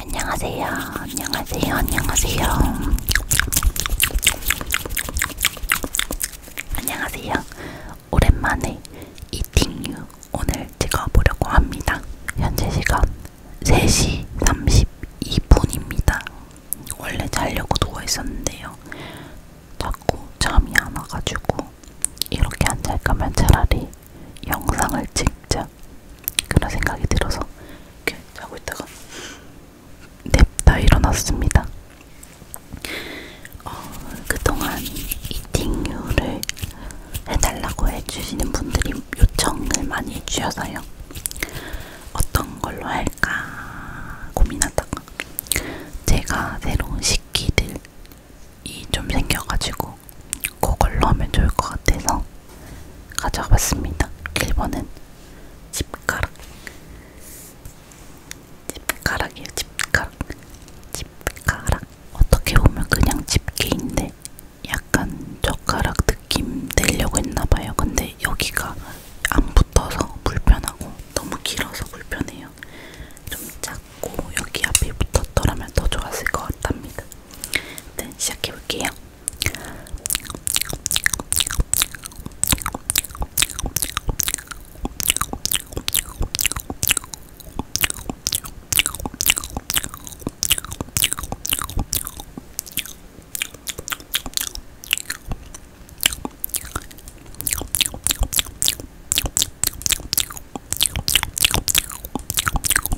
안녕하세요. 안녕하세요. 안녕하세요. 안녕하세요. 오랜만에 이팅유 오늘 찍어보려고 합니다. 현재 시간 3시 32분입니다. 원래 자려고 누워있었는데요. 자꾸 잠이 안 와가지고 이렇게 앉아있으면 차라리 영상을 찍자 그런 생각이 들어서 이렇게 자고 있다가 냅다 일어났습니다. 어, 그동안 이팅유를 해달라고 해주시는 분들이 요청을 많이 해주셔서요. 어떤 걸로 할까 고민하다가 제가 새로운 식기를 이좀 생겨가지고 그걸로 하면 좋을 것 같아서 가져와봤습니다. 1번은 집가락. 집가락이에요. 집가락. 집가락. 어떻게 보면 그냥 집게인데 약간 젓가락 느낌 내려고 했나봐요. 근데 여기가 안 붙어서 불편하고 너무 길어서 불편해요. 좀 작고 여기 앞에 붙었더라면 더 좋았을 것 같답니다. 일단 네, 시작해볼게요.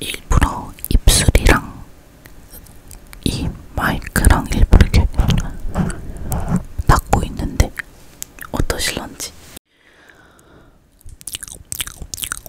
일부러 입술이랑 이 마이크랑 일부러 이렇게 닦고 있는데 어떠실런지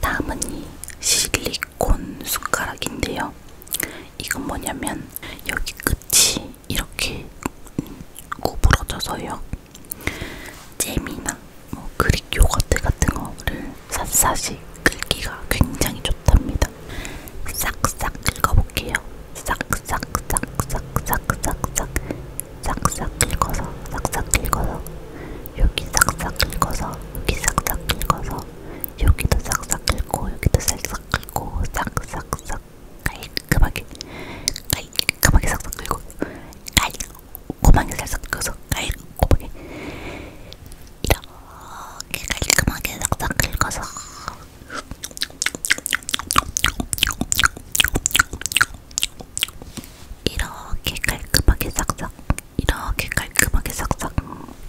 다음은 이 실리콘 숟가락인데요. 이건 뭐냐면 여기 끝이 이렇게 구부러져서요. 잼이나 뭐 그릭 요거트 같은 거를 샅샅이 긁기가 굉장히 좋답니다. 싹싹 긁어볼게요. 싹싹싹싹싹싹싹 싹싹 긁어서 싹싹 긁어서 여기 싹싹 긁어서 여기 싹싹 긁어서 여기도 싹싹 긁고 여기도 싹싹 긁고 싹싹싹 깔끔하게 깔끔하게 싹싹 긁고 깔끔하게 싹싹 긁어서 깔끔하게 이렇게 깔끔하게 싹싹 긁어서 이렇게 깔끔하게 싹싹 이렇게 깔끔하게 싹싹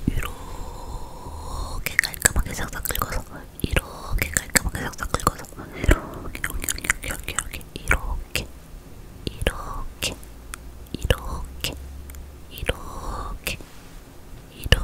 이렇게 깔끔하게 싹싹 긁어서 이렇게 깔끔하게 싹싹 긁어서 이렇게 이렇게 이렇게 이렇게 이렇게 이렇게 이렇게 이렇게 이렇게 이렇게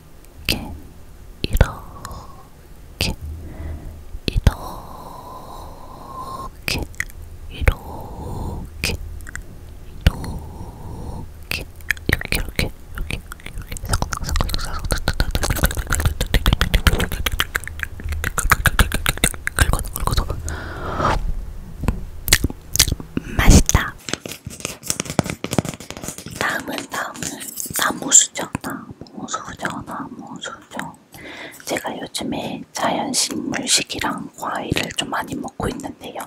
이렇게 이렇게 이렇게 이렇게 이렇게 이렇게 이렇게 이렇게 긁어서 긁어서 맛있다. 다음은 다음은 나무수정 나무수정 나무수정 제가 요즘에 자연식물식이랑 과일을 좀 많이 먹고 있는데요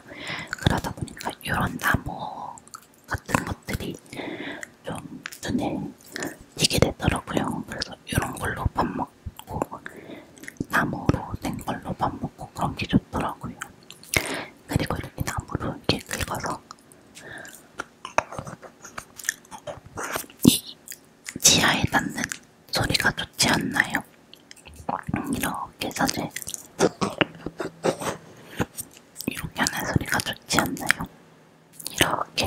그러다 보니까 이런 나무 같은 것들이 좀 눈에 띄게 되더라고요 그래서 이런 걸로 밥 먹고 나무로 된 걸로 밥 먹고 그런 게 좋더라고요 그리고는 이 나무로 이렇게 긁어서 이 지하에 닿는 소리가 좋지 않나요? 이렇게 사실 이렇게 하는 소리가 좋지 않나요? 이렇게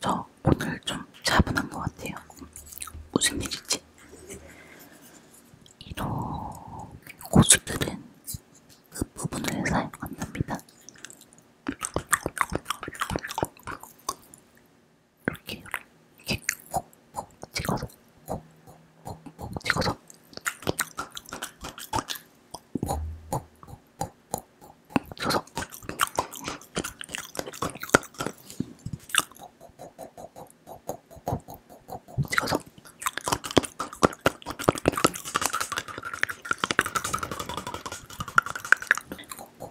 저 오늘 좀 차분한 것 같아요. 무슨 일이지? 이런 고수들은 그 부분을 사용 안 합니다. 이렇게 이렇게 콕콕 찍어서 콕콕콕콕 찍어서 콕콕콕콕콕 찍어서 콕콕콕콕콕콕 찍어서 콕콕콕콕콕콕 그래서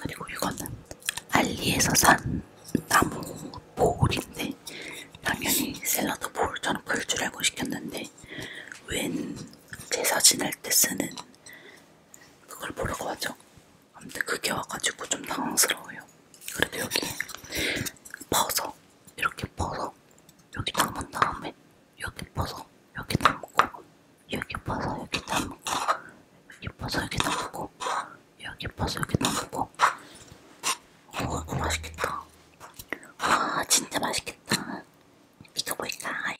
그리고 이거는 알리에서 산 나무 보울인데 당연히 샐러드 볼 저는 볼줄 알고 시켰는데 웬 제사 지낼 때 쓰는 그걸 보라고 하죠. 아무튼 그게 와가지고 좀 당황스러워요. 그래도 여기 퍼서 이렇게 퍼서 여기 담은 다음에 여기 퍼서 여기 담고 여기 퍼서 여기 담고 여기 퍼서 여기 담고 여기 퍼서 여기 담고 어, 맛있겠다. 아, 진짜 맛있겠다. 미쳐볼까, 아유.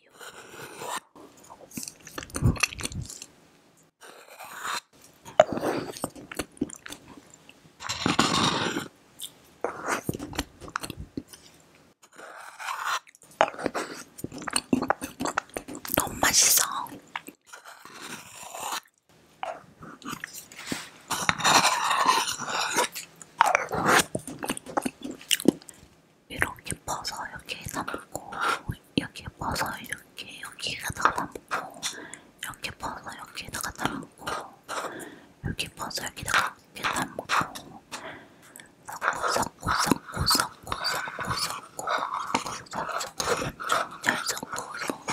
너무 맛있어. 이렇게 퍼서 여기에다 먹고 여기 퍼서 이렇게 여기에다 갖다 먹고 이렇게 퍼서 여기에다 갖다 먹고 여기 퍼서 여기다 갖다 먹고 섞고 섞고 섞고 섞고 섞고 섞고 섞고 섞고 잘 섞고 섞고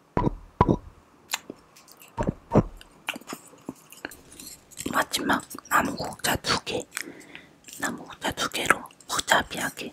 마지막 나무국자 두개 나무국자 두개로 복잡하게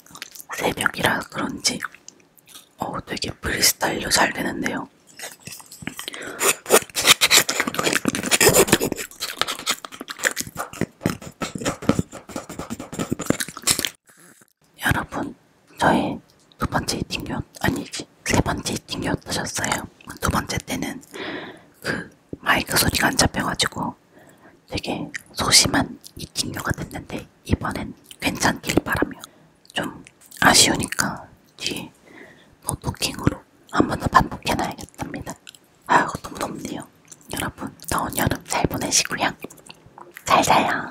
세 명이라 그런지 어 되게 프리스타일로 잘 되는데요. 여러분, 저의 두 번째 이팅교 아니지 세 번째 이팅교 어떠셨어요? 두 번째 때는 그 마이크 소리가 안 잡혀가지고 되게 소심한 이 친구가 됐는데 이번엔 괜찮길 바라며 좀 아쉬우니까 뒤에 노토킹으로 한 번 더 반복해놔야겠답니다. 아유 너무 덥네요. 여러분 더운 여름 잘 보내시고요. 잘 자요.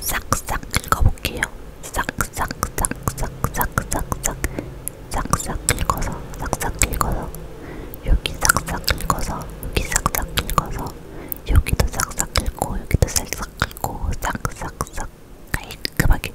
싹싹 읽어볼게요. 싹싹싹싹싹싹싹싹 싹싹 읽어서 싹싹 읽어서 여기 싹싹 읽어서 여기 싹싹 읽어서 여기도 싹싹 읽고 여기도 싹싹 읽고 싹싹싹 깔끔하게 깔끔하게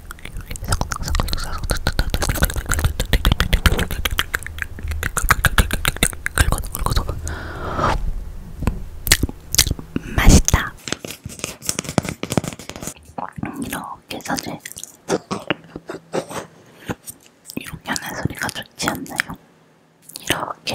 긁어서 맛있다. 이렇게 사실 이렇게 하는 소리가 좋지 않나요? 이렇게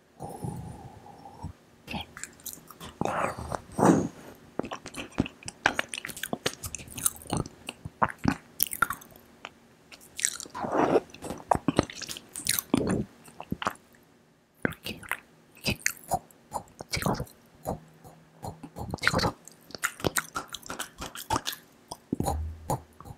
이렇게 이렇게 콕콕 찍어서 콕콕콕콕 찍어서 콕콕콕콕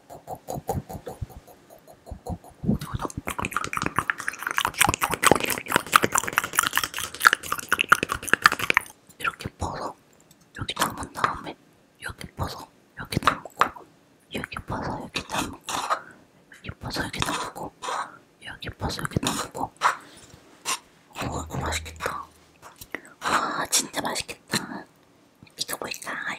이렇게 퍼서 여기 담은 다음에 여기 퍼서 여기 담고 여기 퍼서 여기 담고 여기 퍼서 여기 담고 여기 퍼서 여기 담고 오 맛있겠다 와 진짜 맛있겠다 이거 뭘까요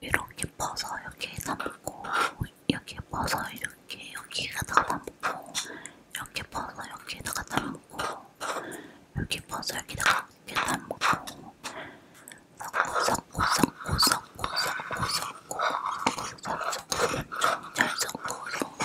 이렇게 퍼서 여기에다 먹고 여기에 퍼서 이렇게 여기에다 갖다 먹고 이렇게 퍼서 여기에다 갖다 먹고 여기 퍼서 여기다가 갖다 먹고 섞고 섞고 섞고 섞고 섞고 섞고 섞고 섞고 잘 섞고 섞고